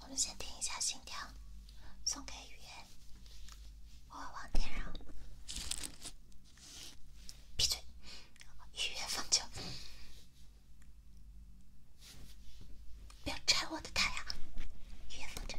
我们先听一下心跳，送给雨夜。我往天上，闭嘴，雨夜放酒，不要拆我的太阳，雨夜放酒。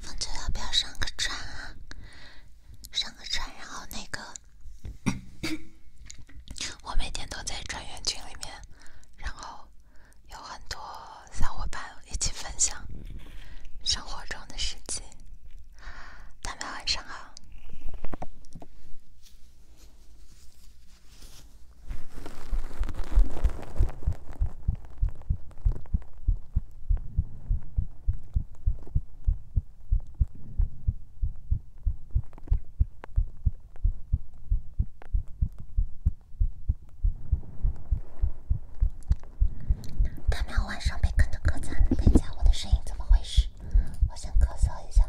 风车要不要上个船啊？上个船，然后那个，我每天都在船员群里面，然后有很多小伙伴一起分享生活中的事迹。大家晚上好。他们要晚上被坑的更惨，听见我的声音怎么回事？我先咳嗽一下。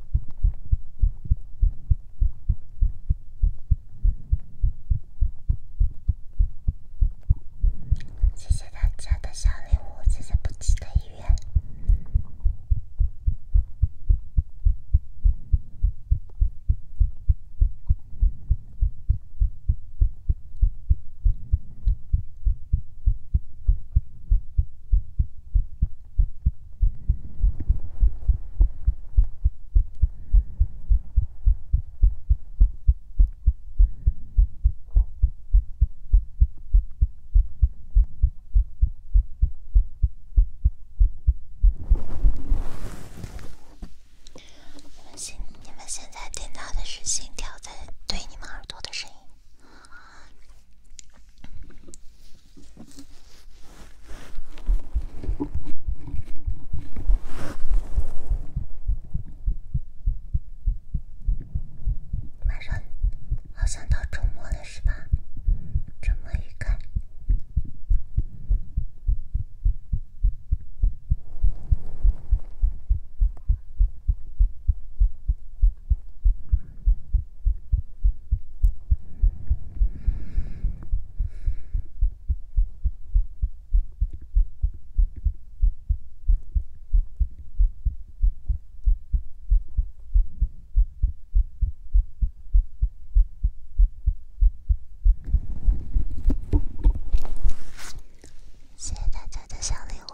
谢谢大家的小礼物，谢谢不记得鱼。你们心，你们现在听到的是心跳在对你们耳朵的声音。马上，好像到周末了，是吧？周末愉快。谢谢大家的小礼物。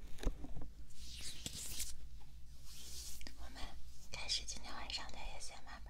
我们开始今天晚上的夜先饭吧。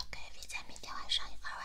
OK，V 仔，明天晚上一块玩。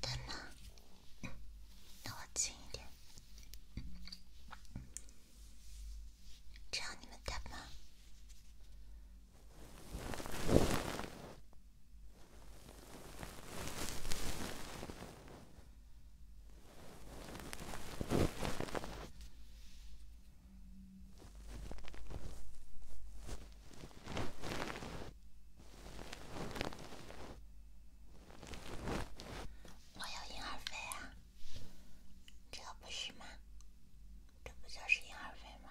等哪？靠近一点，这样你们得吗？我有银耳粉啊，这不是吗？这不就是银耳粉吗？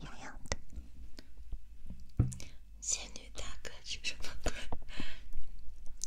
痒痒的，仙女大哥是什么鬼？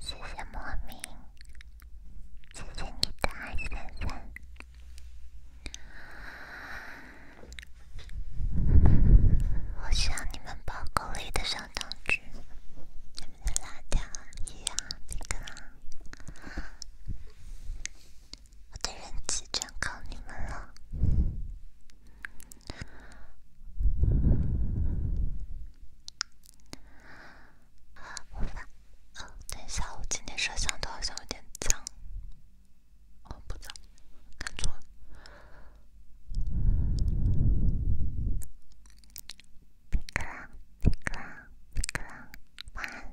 谢谢莫名，谢谢你的爱，先生。我像你们包裹里的小糖纸，你们拉掉一样，别扔。我的人气全靠你们了。好，不等一下，我今天摄像头好像有点脏。哦，不脏。看住。皮卡，皮卡，皮卡，晚安。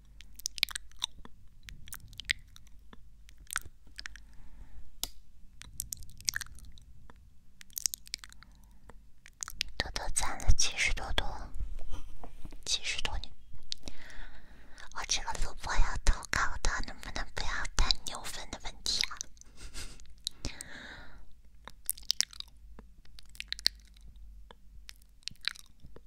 豆豆攒了七十多朵，七十多朵。我这个主播要投稿的，能不能不要谈牛粪的问题啊？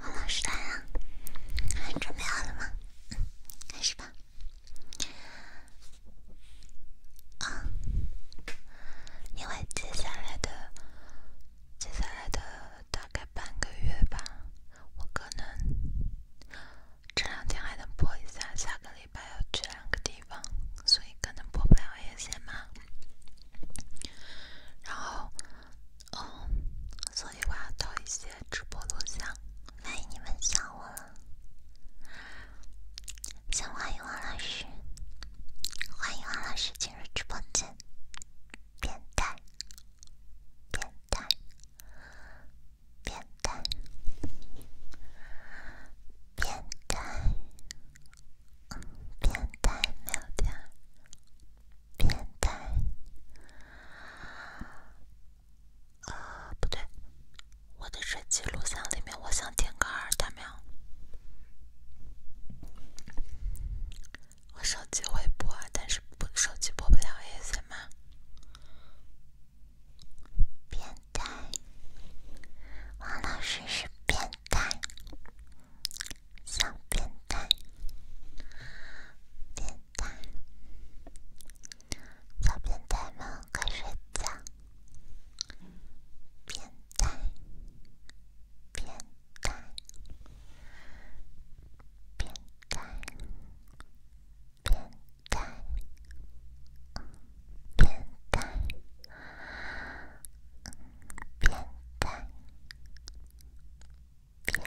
王老师来了，你准备好了吗？开始吧。啊，因为接下来的，接下来的。大概半个月吧，我可能这两天还能播一下，下个礼拜要去两个地方，所以可能播不了也行吧。然后，嗯，所以我要到一些直播录像。欢迎你们想我了，欢迎王老师，欢迎王老师进入直播间。变态，变态，变态，变态，变态喵喵，变态。呃，不对，我的手机录像里面我想听个二蛋喵。我手机会播但是不手机播不了 A s C 吗？变态，王老师是变态，小变态，变态，小变态们快睡觉，变态，变态，变。变蛋，变蛋，变蛋，变蛋，变蛋，变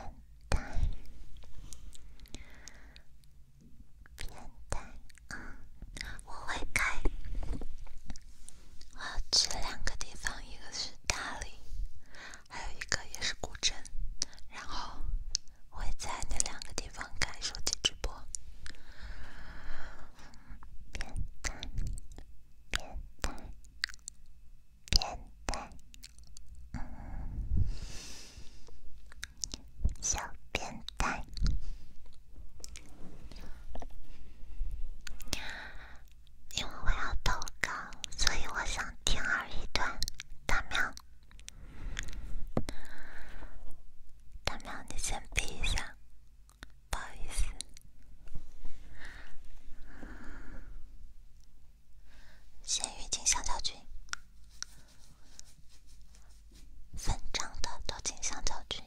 蛋。我会开，我要去两个地方，一个是大理。还有一个也是古镇，然后会在那两个地方看手机直播，变态，变态，变态，嗯，小变态。因为我要投稿，所以我想铤而走险。大喵，大喵，你先闭一下，不好意思。先鱼金香蕉君，粉长的都金香蕉君，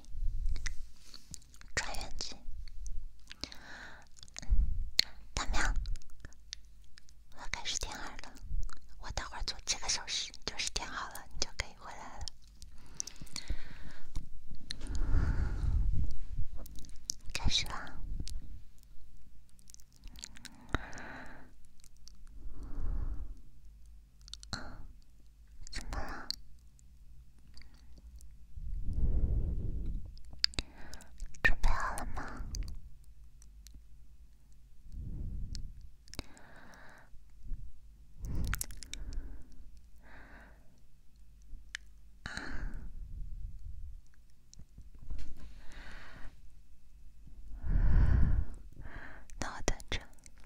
穿越剧。大喵，我要开始填耳了。我待会儿做几个小时，就是填好了，你就可以回来了。开始啦！怎么了？准备好了吗？啊，那我等着。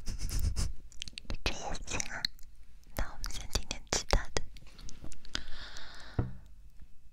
这也行啊，那我们先点点其他的。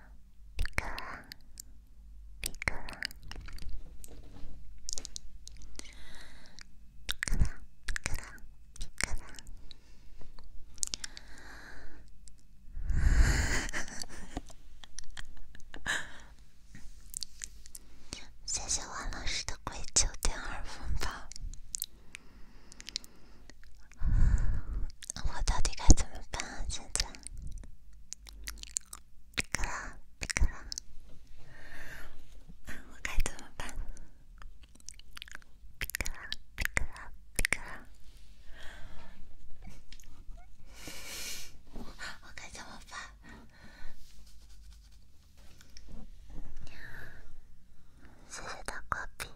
皮卡，皮卡，皮卡，皮卡，皮卡。谢谢王老师的鬼九点二分吧。我到底该怎么办？现在，皮卡啦，皮卡啦，我该怎么办？皮卡啦，皮卡啦，皮卡啦，我我该怎么办？谢谢大隔壁，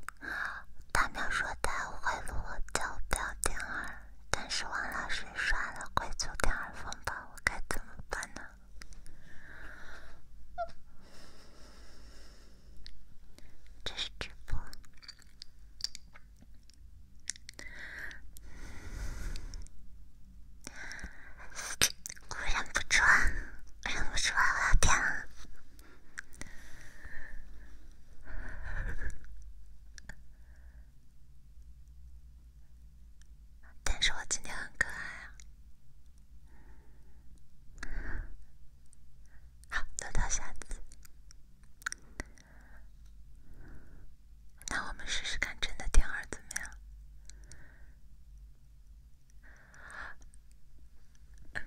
大喵说他会录我不要点儿，但是王老师刷了贵族点儿风暴，我该怎么办呢？这是直播，我忍不住了，忍不住了，我要点。但是我今天很可爱啊！好，做到下次。那我们试试看真的婴二怎么样？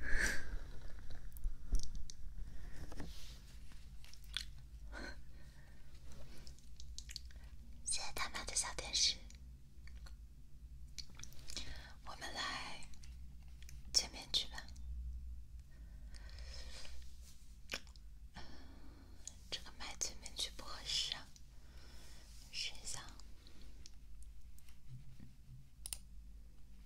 谢谢大喵的小天使，我们来见面去吧。这个麦见面去不合适，试一下。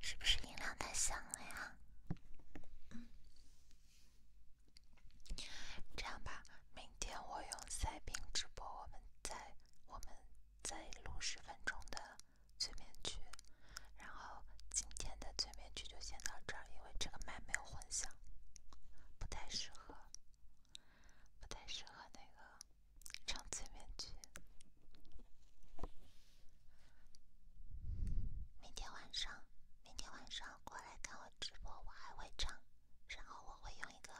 是不是音量太响了呀？这样吧，明天我用赛屏直播，我们再我们再录十分钟的催眠曲。然后今天的催眠曲就先到这儿，因为这个麦没有混响，不太适合，不太适合那个唱催眠曲。明天晚上，明天晚上过来看我直播，我还会唱，然后我会用一个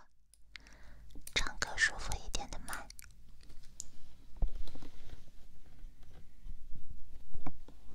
唱歌舒服一点的麦。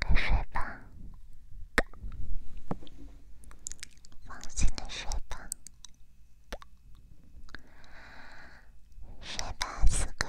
快睡吧，放心的睡吧，睡吧，四哥。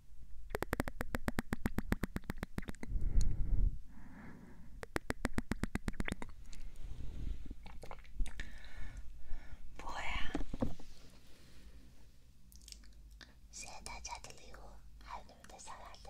不会啊！谢谢大家的礼物，还有你们的小蜡烛。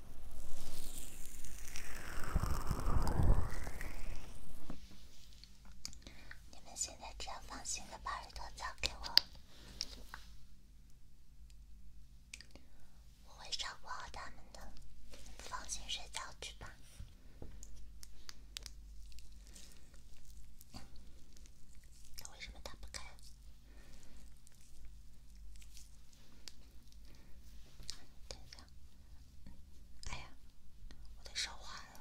你们现在只要放心地把耳朵交给我，我会照顾好他们的。放心睡觉去吧。它为什么打不开？等一下，哎呀，我得烧完了。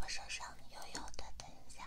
我手上油油的，等一下。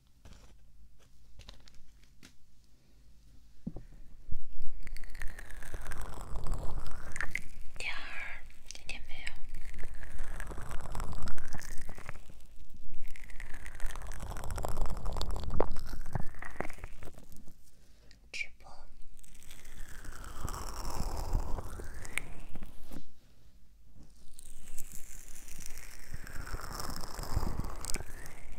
第二，听见没有？直播。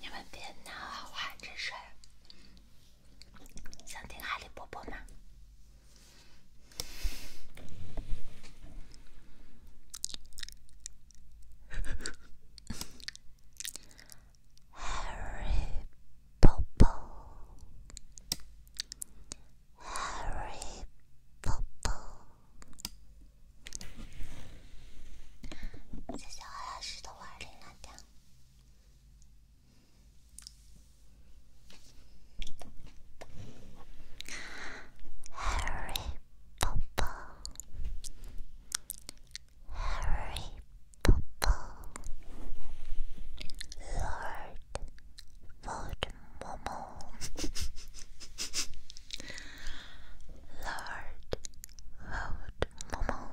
你们别闹了，我还真睡。了。想听哈利波波吗？哈利波特，哈利波特，谢谢老师的五二零啦！的。Harry Potter. Harry Potter. Lord Voldemort. Lord Voldemort.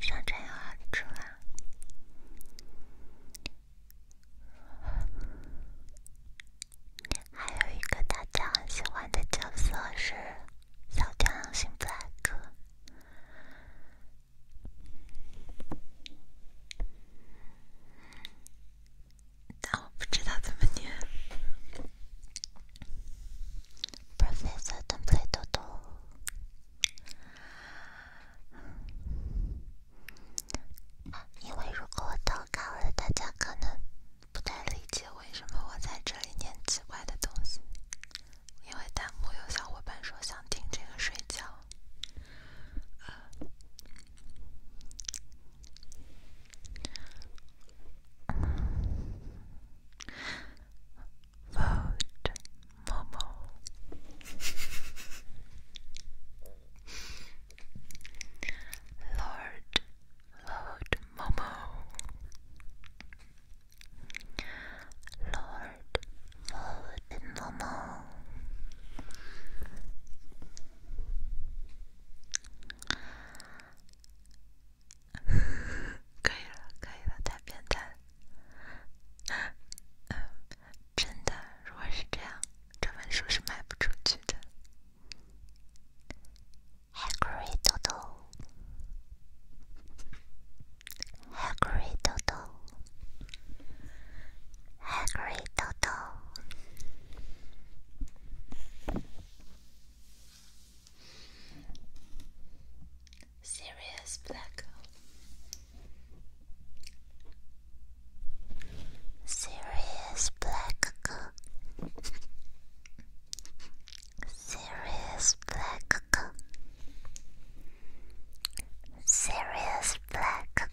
上阵有好处，还有一个大家很喜欢的角色是小天狼星布莱克。但我不知道怎么念 professor don't play too 多，因为如果我投稿了，大家可能不太理解为什么我在这里念奇怪的东西，因为弹幕有小伙伴说想听这个睡觉。Lord, Lord Momo. Lord, Lord Momo. Lord, Lord Momo. 可以了，可以了，太变态真的，如果是这样，这本书是卖不出去的。r r a r Serious black hole. Sirius black hole. Sirius black hole. black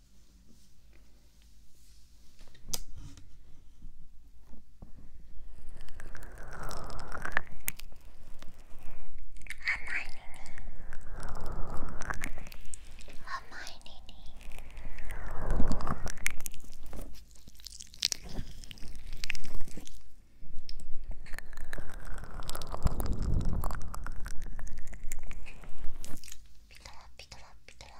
ピトラピトラピトラ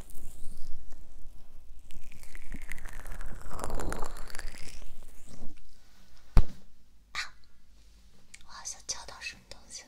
我好像敲到什么东西。了。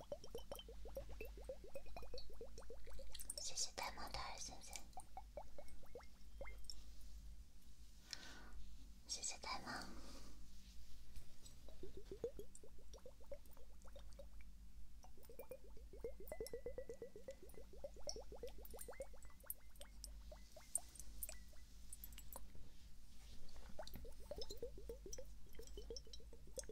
谢谢戴妈的爱心心，谢谢戴妈。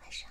晚上。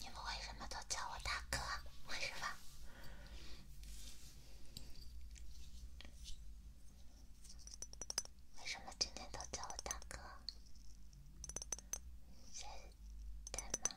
你们为什么都叫我大哥？为什么？为什么今天都叫我大哥？在在吗？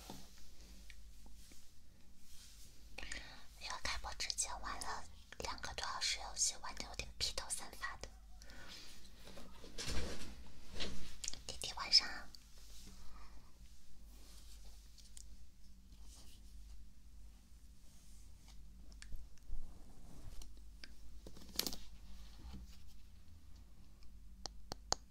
因为开播之前玩了两个多小时游戏，玩的有点披头散发的。弟弟晚上。